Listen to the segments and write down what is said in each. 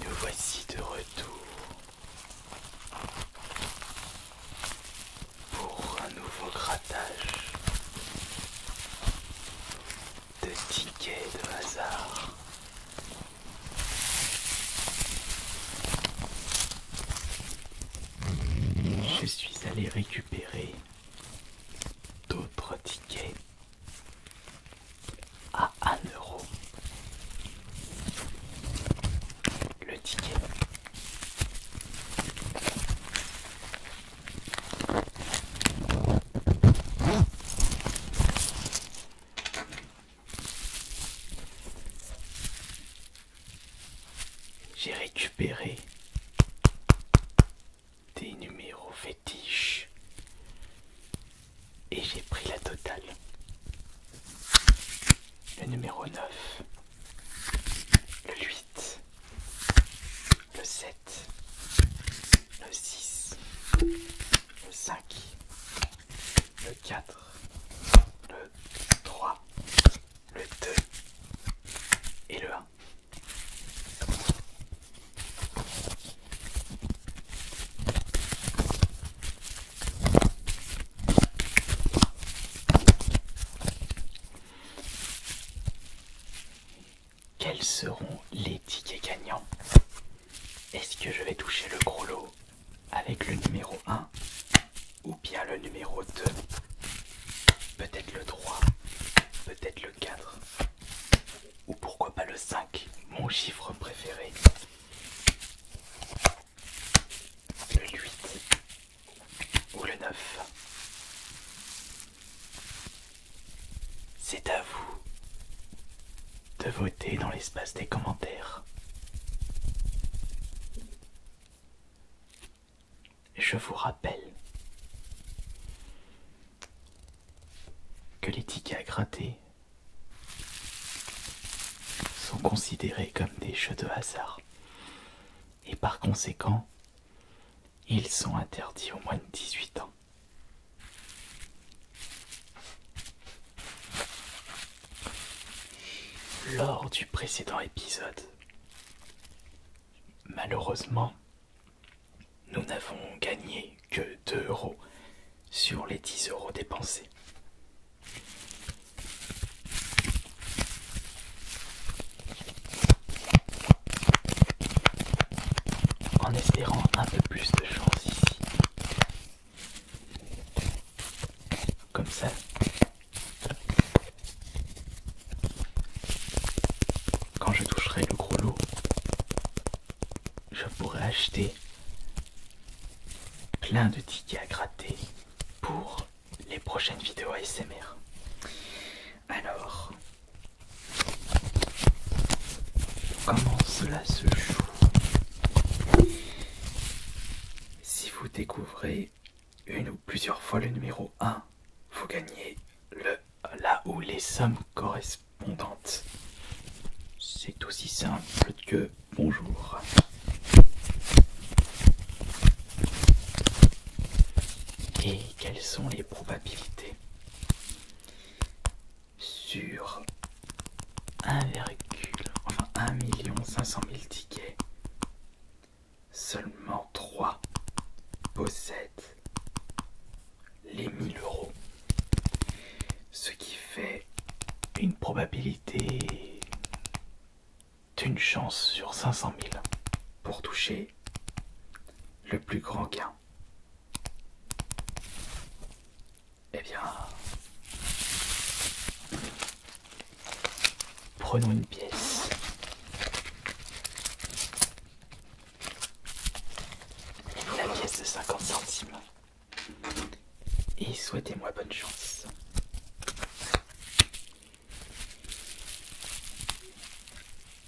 Nous voici de retour pour un nouveau grattage de tickets de hasard. Je suis allé récupérer d'autres tickets à 1 euro le ticket. J'ai récupéré des numéros fétiches et j'ai pris la totale. Le numéro 9, le 8, le 7, le 6, le 5, le 4, le 3, le 2 et le 1. Quels seront les tickets gagnants Est-ce que je vais toucher le gros lot avec le numéro 1 ou bien le numéro 2 Peut-être le 3, peut-être le 4 ou pourquoi pas le 5, mon chiffre préféré. Le 8 ou le 9. C'est à vous de voter dans l'espace des commentaires. Je vous rappelle que les tickets à gratter sont considérés comme des jeux de hasard et par conséquent ils sont interdits au moins de 18 ans. Lors du précédent épisode, malheureusement, nous n'avons gagné que 2 euros sur les 10 euros dépensés. En espérant un peu plus de chance ici. Comme ça. Quand je toucherai le gros lot, je pourrais acheter plein de tickets à gratter pour les prochaines vidéos ASMR. Alors, comment cela se joue Si vous découvrez une ou plusieurs fois le numéro 1, vous gagnez le là où les sommes correspondantes. C'est aussi simple que bonjour. Et quelles sont les probabilités Sur 1, enfin 1 cent mille tickets, seulement 3 possèdent les 1000 euros. Ce qui fait une probabilité d'une chance sur 500 000 pour toucher le plus grand gain. et eh bien, prenons une pièce. La pièce de 50 centimes. Et souhaitez-moi bonne chance.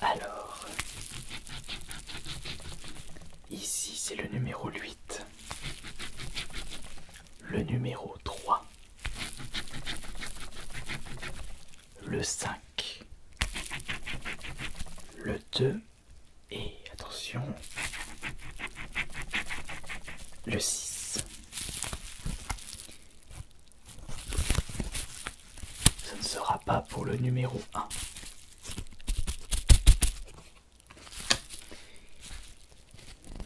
Alors, ici c'est le numéro 8, le numéro 3, le 5, le 2 et attention, le 6. Ce ne sera pas pour le numéro 1.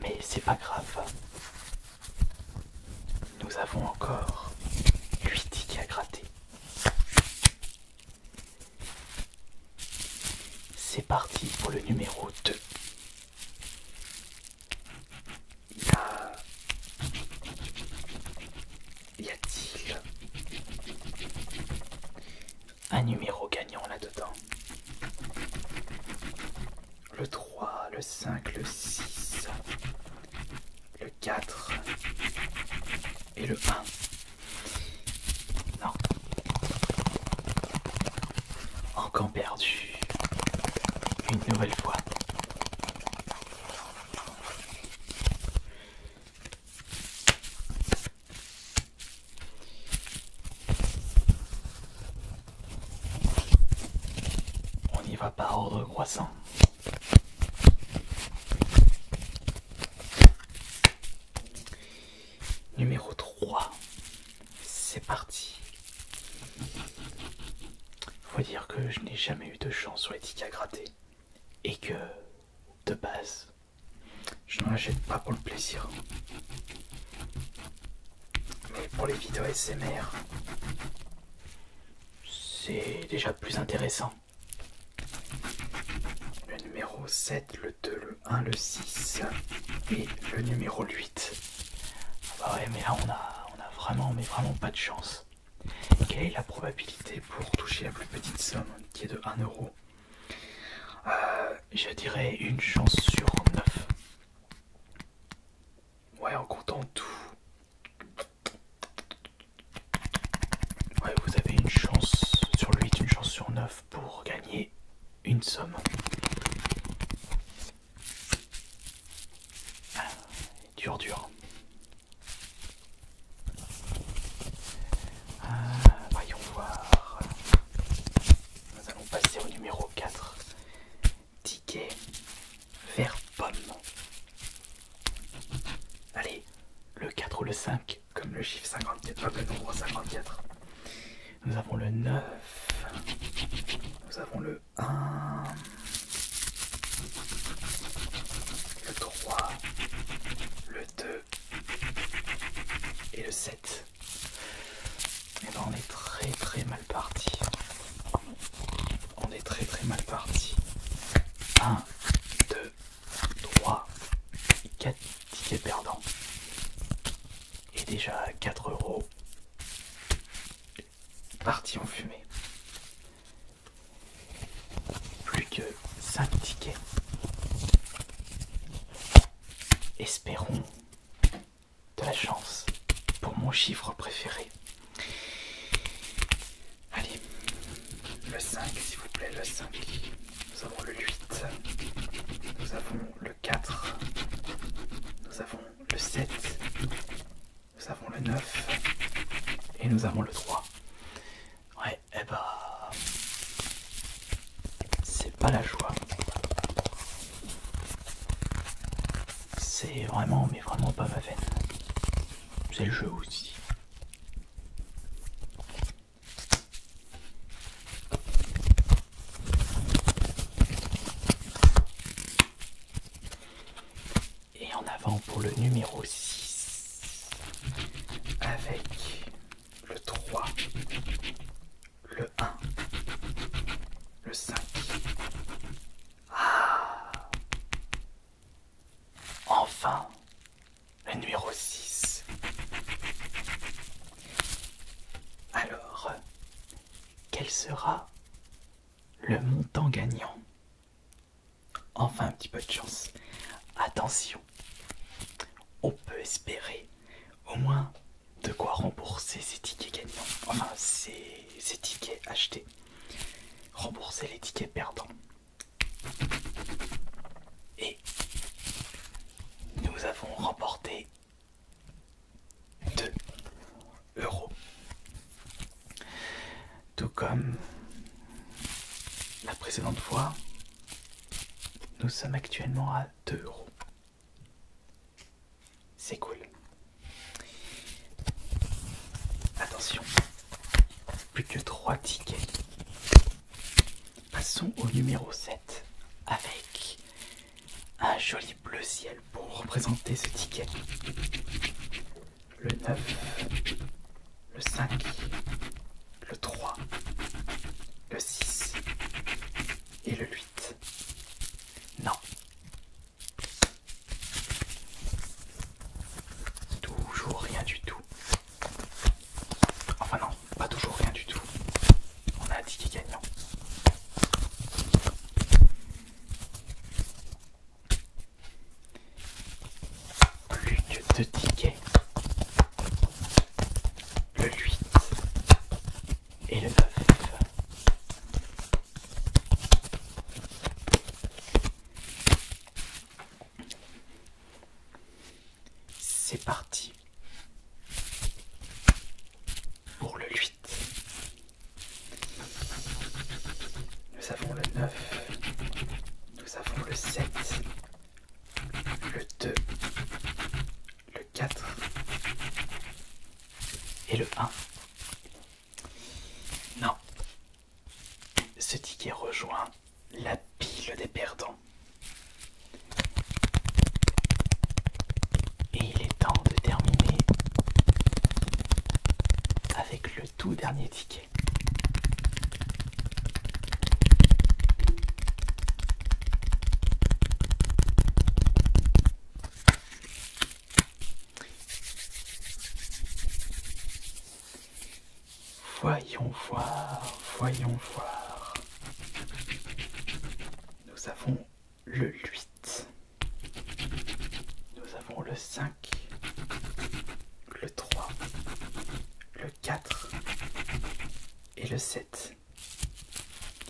Mais c'est pas grave. Nous avons encore 8 tickets à gratter. C'est parti pour le numéro 2. Y a... t il un numéro gagnant là-dedans Le 3, le 5, le 6, le 4 et le 1. Non. Encore perdu. Une nouvelle fois. On y va par ordre croissant. Numéro 3, c'est parti. Faut dire que je n'ai jamais eu de chance sur les tickets à gratter et que de base, je n'en achète pas pour le plaisir, mais pour les vidéos SMR, c'est déjà plus intéressant. Le numéro 7, le 2, le 1, le 6 et le numéro 8. Ah bah ouais, mais là on a, on a vraiment, vraiment pas de chance. Quelle est la probabilité pour toucher la plus petite somme qui est de 1 euro euh, Je dirais une chance sur 9. Ouais, en comptant tout vous avez une chance sur 8, une chance sur 9 pour gagner une somme. Ah, dur, dur. Ah, voyons voir. Nous allons passer au numéro 4. Ticket vers pomme. Allez, le 4 ou le 5, comme le chiffre 54, comme le nombre 54. Nous avons le 9. Nous avons le 1. Le 3. Le 2. Et le 7. Et eh ben on est très très mal parti on est très très mal parti. 1, 2, 3, 4 tickets perdants. Et déjà 4 euros. Parti en fumée. Plus que 5 tickets. Espérons de la chance pour mon chiffre préféré. Allez, le 5 s'il vous plaît, le 5. Nous avons le 8. Nous avons le 4. Nous avons le 7. Nous avons le 9. Et nous avons le 3. Ouais, eh bah... C'est pas la joie. C'est vraiment, mais vraiment pas ma veine. C'est le jeu aussi. Et en avant pour le numéro 6 avec le 3, le 1, le 5, ah Enfin Le numéro 6. Alors, quel sera le montant gagnant Enfin un petit peu de chance. Attention, on peut espérer au moins de quoi rembourser ces tickets gagnants. Enfin, ces tickets achetés rembourser les tickets perdants. Et nous avons remporté 2 euros. Tout comme la précédente fois, nous sommes actuellement à 2 euros. C'est cool. Attention, plus que 3 tickets. Passons au numéro 7 avec un joli bleu ciel pour représenter ce ticket. Le 9, le 5, le 3, le 6 et le 8. Non, Toujours rien du tout. Enfin non, pas toujours rien du tout. On a un ticket gagnant. Plus que deux tickets. Le 8 et le 9. C'est parti pour le 8. Nous avons le 9. Nous avons le 7. Le 2. Le 4. Et le 1. Non. Ce ticket rejoint la pile des perdants. Et il est temps de terminer avec le tout dernier ticket. Voyons voir, voyons voir. Nous avons le 8. Nous avons le 5. Le 3. Le 4. Et le 7.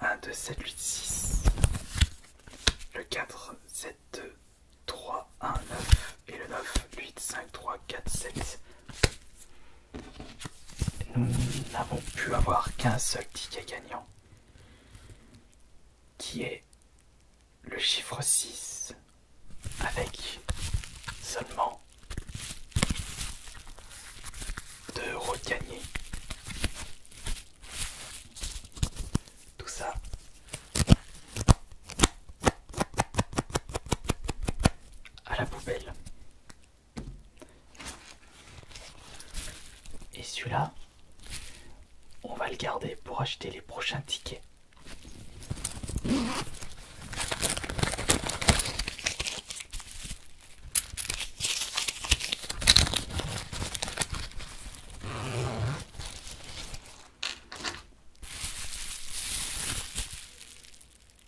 1, 2, 7, 8, 6. Le 4, 7, 2, 3, 1, 9. Et le 9, 8, 5, 3, 4, 7. Nous n'avons pu avoir qu'un seul ticket gagnant, qui est le chiffre 6, avec seulement de regagner tout ça. À la poubelle. Et celui-là, on va le garder pour acheter les prochains tickets.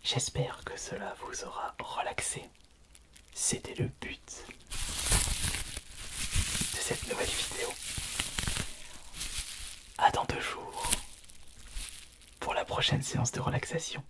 J'espère que cela vous aura relaxé. C'était le but de cette nouvelle vidéo. À dans deux jours pour la prochaine séance de relaxation.